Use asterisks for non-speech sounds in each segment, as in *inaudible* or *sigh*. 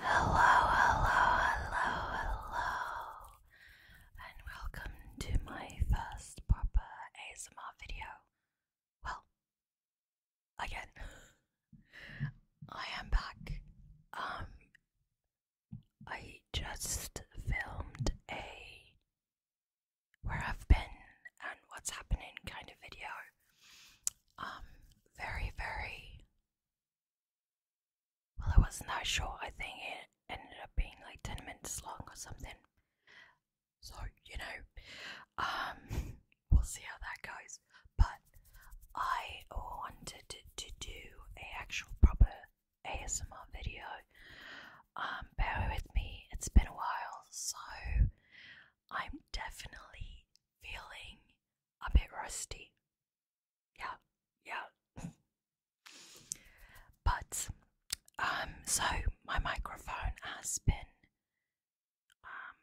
Hello, hello, hello, hello, and welcome to my first proper ASMR video. Well, again, *laughs* I am back. Um, I just filmed a where I've been and what's happening kind of video. Um, very, very well, it wasn't that short, I think it ended up being like 10 minutes long or something. So, you know, um, *laughs* we'll see how that goes. But I wanted to do a actual proper ASMR video. Um, bear with me, it's been a while, so I'm definitely feeling a bit rusty. Yeah, yeah. *laughs* but um, so my microphone has been um,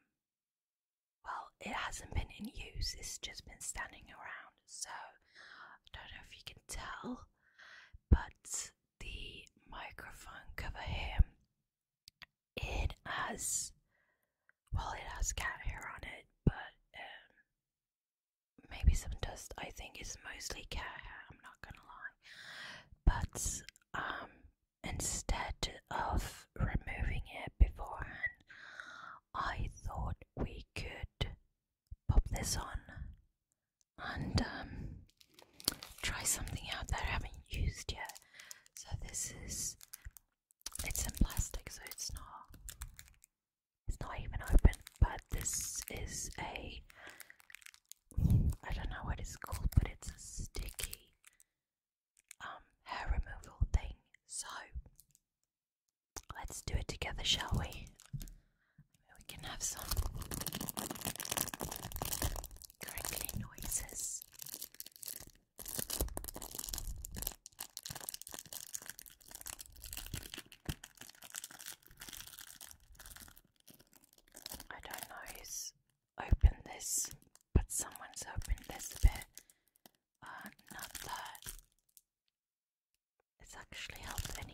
well, it hasn't been in use, it's just been standing around, so I don't know if you can tell, but the microphone cover here it has well it has cat hair on it, but um, maybe some dust. I think it's mostly cat hair, I'm not gonna lie. But um instead of removing it beforehand I thought we could pop this on and um, try something out that I haven't used yet. So this is it's in plastic, so it's not it's not even open. But this is a I don't know what it's called, but it's a sticky um, hair removal thing. So Let's do it together, shall we? we can have some crinkly noises. I don't know who's opened this, but someone's opened this a bit uh, not that it's actually helped any.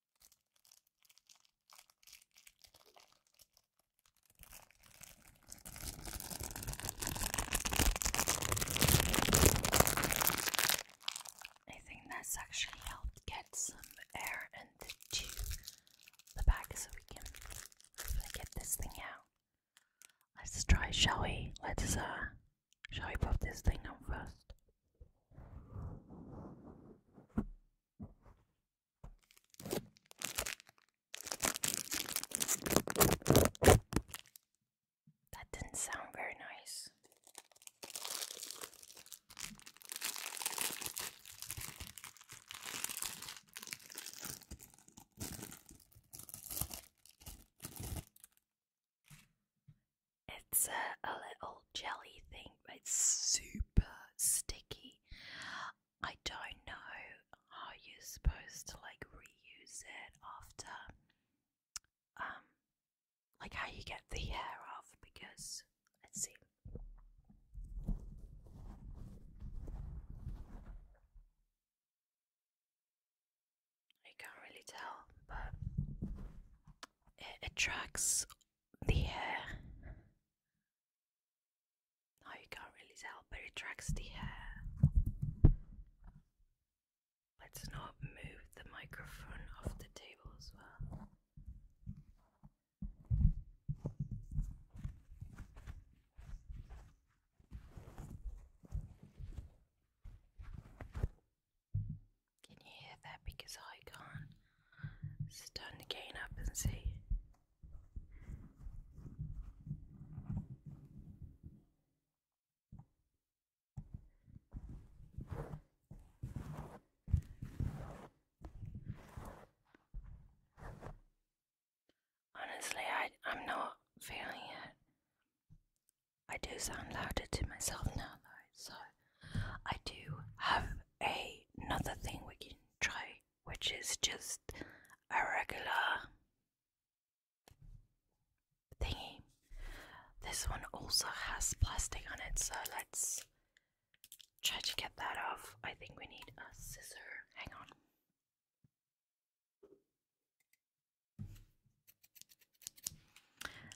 I think that's actually helped get some air into the back so we can get this thing out. Let's try, shall we? Let's, uh, shall we pop this thing on first? That didn't sound very nice. It's a, little jelly thing, it's super sticky. I don't know how you're supposed to like reuse it after, um, like how you get the hair off because let see. I can't really tell, but it attracts the hair. Now you can't really tell, but it tracks the hair. Let's not move the microphone off the table as well. Can you hear that? Because I can't. It's time to gain up and see. Honestly, I, I'm not feeling it. I do sound louder to myself now, though, so I do have another thing we can try, which is just a regular thingy. This one also has plastic on it, so let's try to get that off. I think we need a scissor. Hang on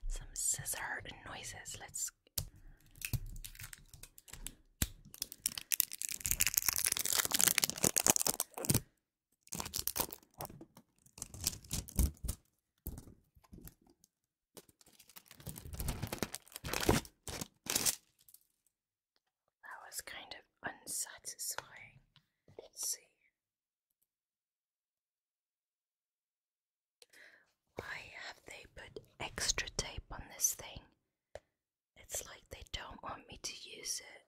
some scissor noises. Let's that was kind of unsatisfying. Let's see. Why have they put extra tape on this thing? It's like they don't want me to use it.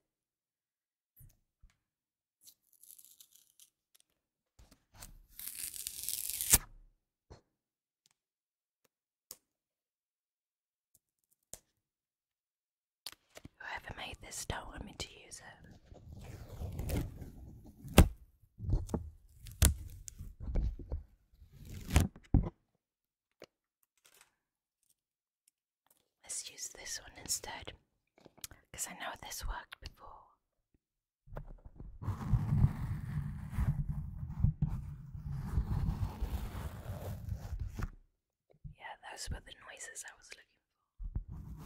Whoever made this don't want me to use it. Let's use this one instead because I know this worked before. Yeah, those were the noises I was looking for.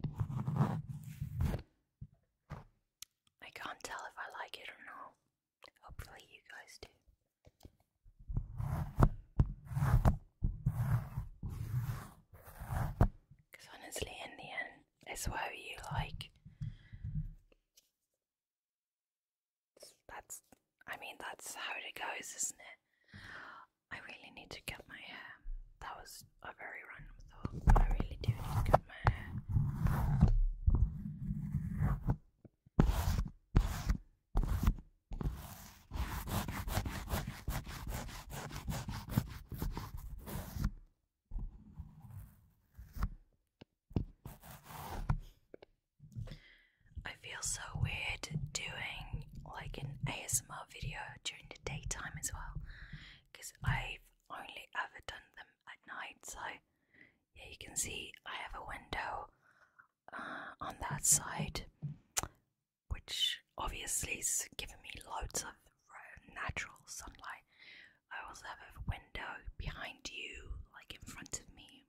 I can't tell if I like it or not. Hopefully, you guys do. Because honestly, in the end, it's whether you like. That's, I mean, that's how it goes, isn't it? I really need to cut my hair. That was a very random thought, I really do need to cut my hair. I feel so weird doing like an ASMR video in the daytime as well because I've only ever done them at night. So, yeah, you can see I have a window uh, on that side, which obviously is giving me loads of natural sunlight. I also have a window behind you, like in front of me.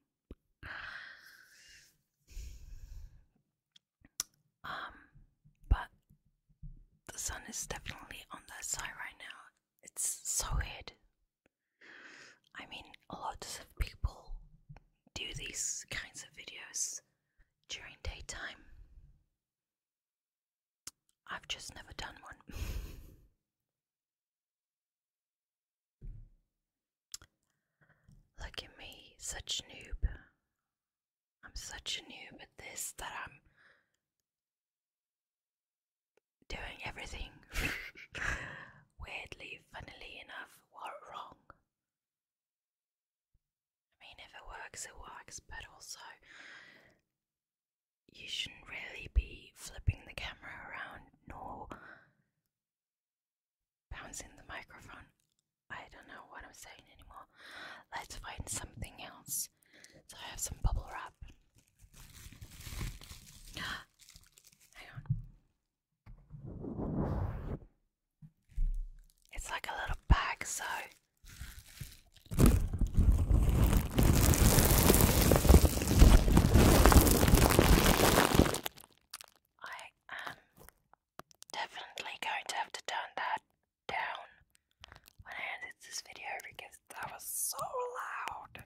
Um, but the sun is definitely on that side right now. It's so hid. I mean, lots of people do these kinds of videos during daytime. I've just never done one. *laughs* Look at me, such noob. I'm such a noob at this that I'm doing everything *laughs* weirdly, funnily enough, What wrong. I mean, if it works, it works, but also you shouldn't really be flipping the camera around nor bouncing the microphone. I don't know what I'm saying anymore. Let's find something else. So I have some bubble wrap. *gasps* Hang on. It's like a little bag, so. I am definitely going to have to turn that down when I edit this video because that was so loud.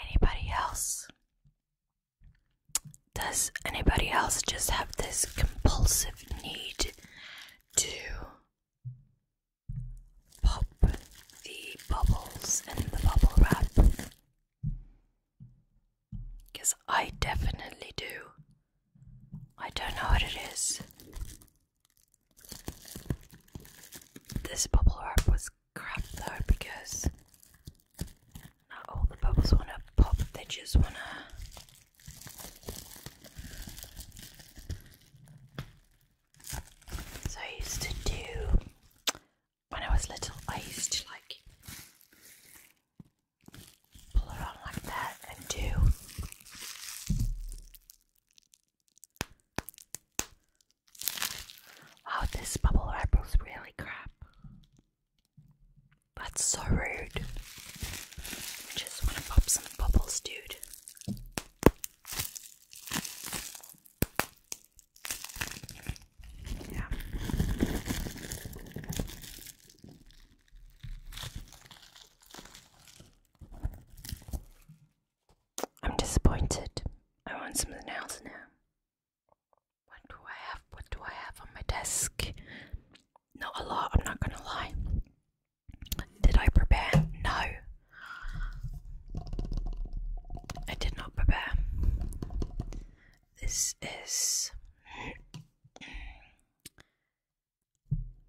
Anybody else? Does anybody else just have this compulsive need to pop the bubbles in the bubble wrap? Because I definitely do. I don't know what it is. This bubble wrap was crap though because not all the bubbles want to pop, they just want to. So I used to do, when I was little, I used to like pull it on like that and do Oh, this bubble wrap was really crap. That's so rude. just want to pop some bubbles, dude. Yeah. I'm disappointed. I want some nails now. What do I have? What do I have on my desk? Not a lot, I'm not gonna lie. Did I prepare? No. I did not prepare. This is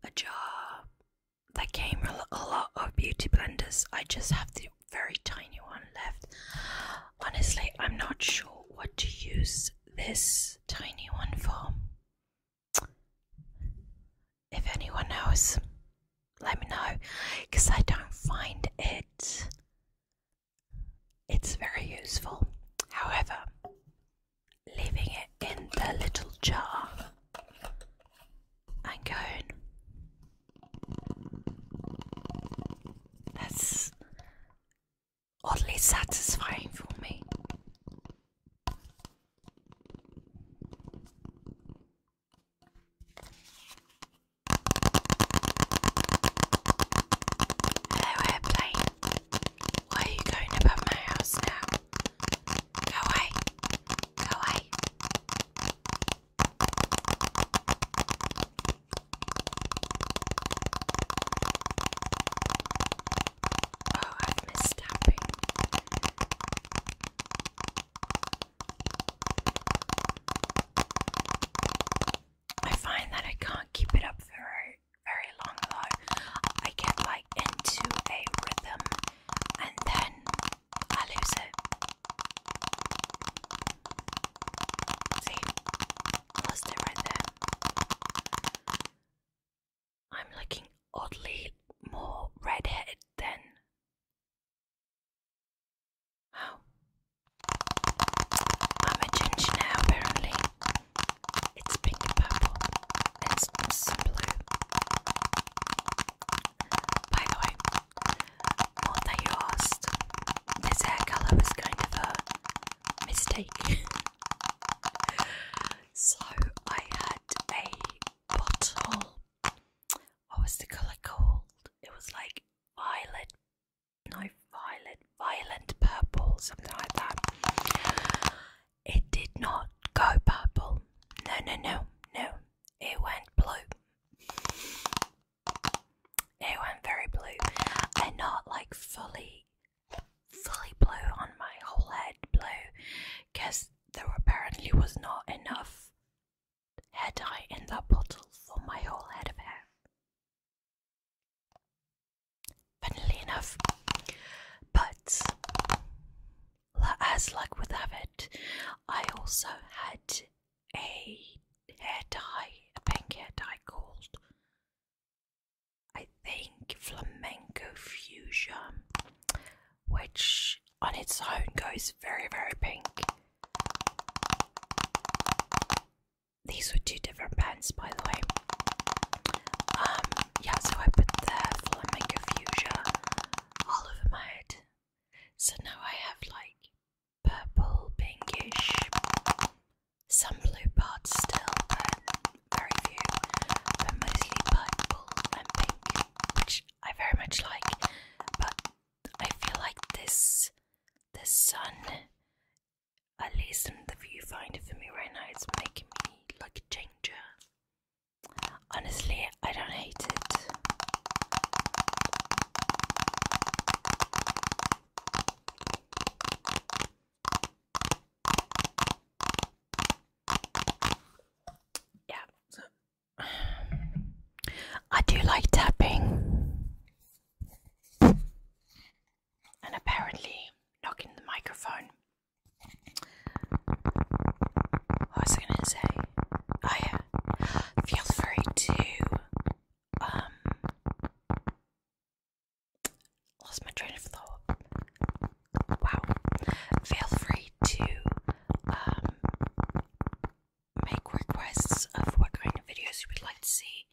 a jar There came a lot of beauty blenders. I just have the very tiny one left. Honestly, I'm not sure what to use this tiny one for. If anyone knows, let me know because I don't find it it's very useful. However, leaving it in the little jar and going. That's oddly satisfying for me. Hello, airplane. are you going above my house now? Go away. Go away. Oh, I've missed I find that I can't keep it up very very long though. I get like into a rhythm and then I lose it. See, lost I'm looking oddly more red-headed than oh. I'm a ginger now apparently. It's pink and purple. It's blue. By the way, what that you this hair colour was kind of a mistake. *laughs* so I had a bottle. What was the colour called? It was like violet, no violet, violent purple, something like that. It did not go purple. No, no, no, no. It went blue. It went very blue. And not like fully, fully blue on my whole head blue. Because there apparently was not enough hair dye in that bottle for my whole head of hair. Funnily enough. But as luck would have it, I also had a hair dye, a pink hair dye called, I think, Flamenco Fuchsia, which on its own goes very, very pink. These were two different pens, by the way. Um, yeah, so I put the flamenco fuchsia all over my head. So now I have like purple, pinkish, some blue parts still, but very few, but mostly purple and pink, which I very much like. But I feel like this, the sun, at least in the viewfinder for me right now, it's making me like a ginger. Honestly, I don't hate it. Yeah, *sighs* I do like tapping and apparently knocking the microphone what was I gonna say? Oh yeah. Feel free to um lost my train of thought. Wow. Feel free to um make requests of what kind of videos you would like to see.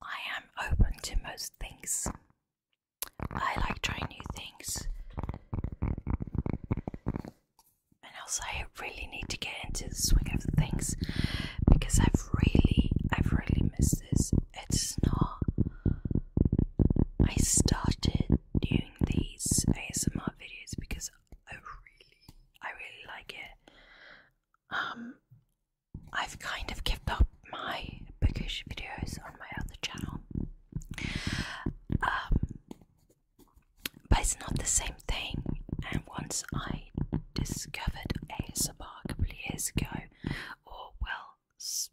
I am open to most things. I like trying new things. And also, I really need to get into the swing of things because I've really, I've really missed this. It's not. I started doing these ASMR videos because I really, I really like it. Um, I've kind of given up my bookish videos on my other channel. Um, but it's not the same thing. And once I discovered ASMR a couple of years ago, or well,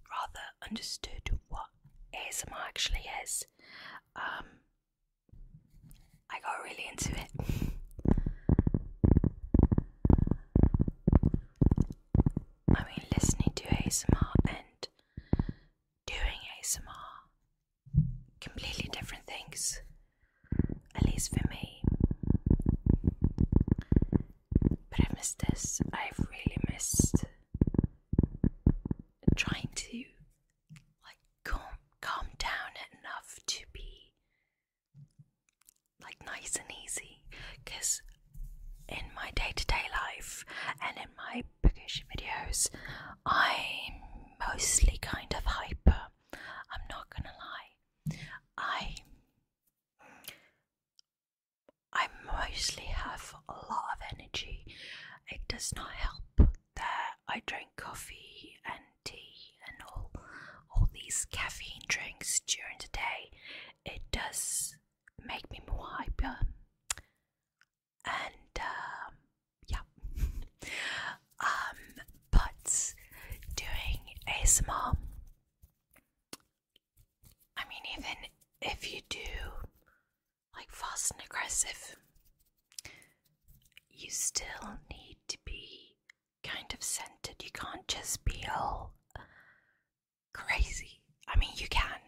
rather understood what ASMR actually is, um, I got really into it. *laughs* I mean, listening to ASMR and doing ASMR, completely different things, at least for me. But I've missed this, I've really missed trying to like calm, calm down enough to be like nice and easy because in my day to day life and in my vacation videos, I'm mostly kind of hyper. I'm not gonna lie. I I mostly have a lot of energy. It does not help that I drink coffee and tea and all all these caffeine drinks during the day. It does make me more hyper. Um, and um, yeah, *laughs* um, but doing ASMR, I mean, even if you do like fast and aggressive, you still need to be kind of centered. You can't just be all crazy. I mean, you can.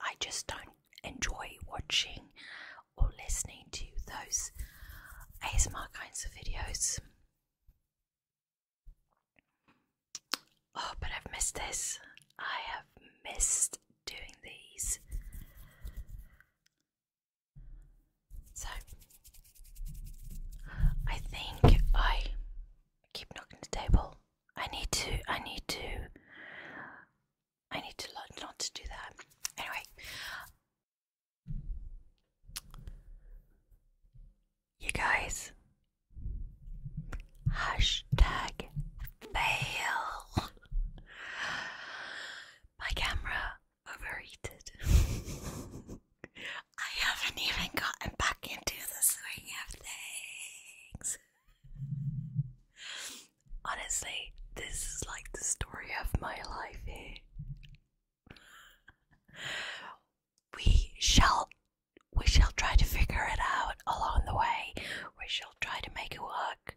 I just don't enjoy watching or listening to those ASMR kinds of videos. Oh, but I've missed this. I have missed doing these. So, I think I I keep knocking the table. I need to, I need to, I need to not to do that. Anyway, you guys, hashtag fail. My camera overheated. *laughs* I haven't even gotten back into the swing of things. Honestly, this is like the story of my life We shall we shall try to figure it out along the way. We shall try to make it work.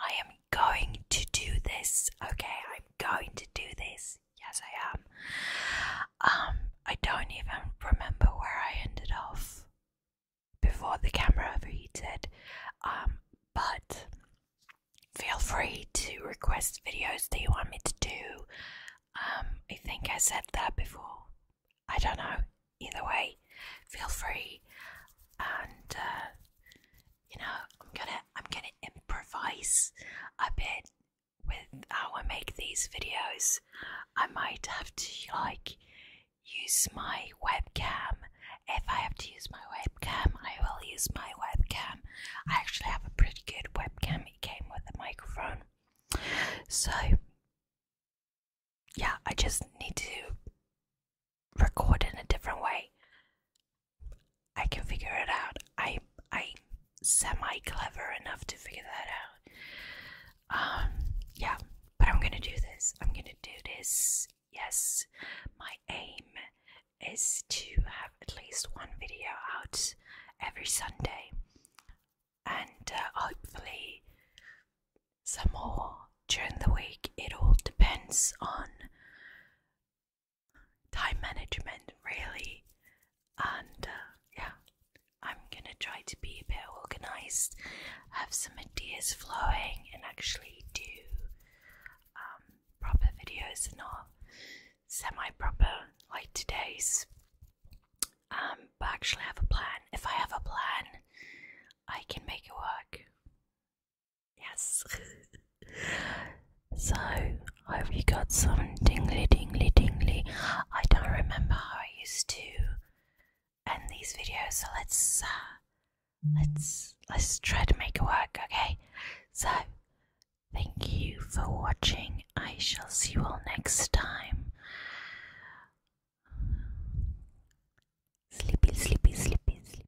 I am going to do this. Okay, I'm going to do this. Yes, I am. Um, I don't even remember where I ended off before the camera overheated. Um, but feel free to request videos that you want me to do. Um, I think I said that before. I don't know. Either way, feel free. And uh, you know, I'm gonna I'm gonna improvise a bit with how I make these videos, I might have to like use my webcam. If I have to use my webcam, I will use my webcam. I actually have a pretty good webcam, it came with a microphone. So, yeah, I just need to record in a different way. I can figure it out. I I semi clever enough to figure that out. Um, yeah, but I'm gonna do this. I'm gonna do this. Yes, my aim is to have at least one video out every Sunday, and uh, hopefully some more during the week. It all depends on time management, really, and uh, yeah, I'm gonna try to be a bit organized, have some ideas flowing, and actually do um, proper videos and not semi proper like today's. Um, but actually, have a plan. If I have a plan, I can make it work. Yes. *laughs* so have you got some dingly, dingly, dingly? I don't remember how I used to end these videos, so let's uh, let's let's try to make it work. Okay, so thank you for watching. I shall see you all next time. Sleepy, sleepy, sleepy, sleepy.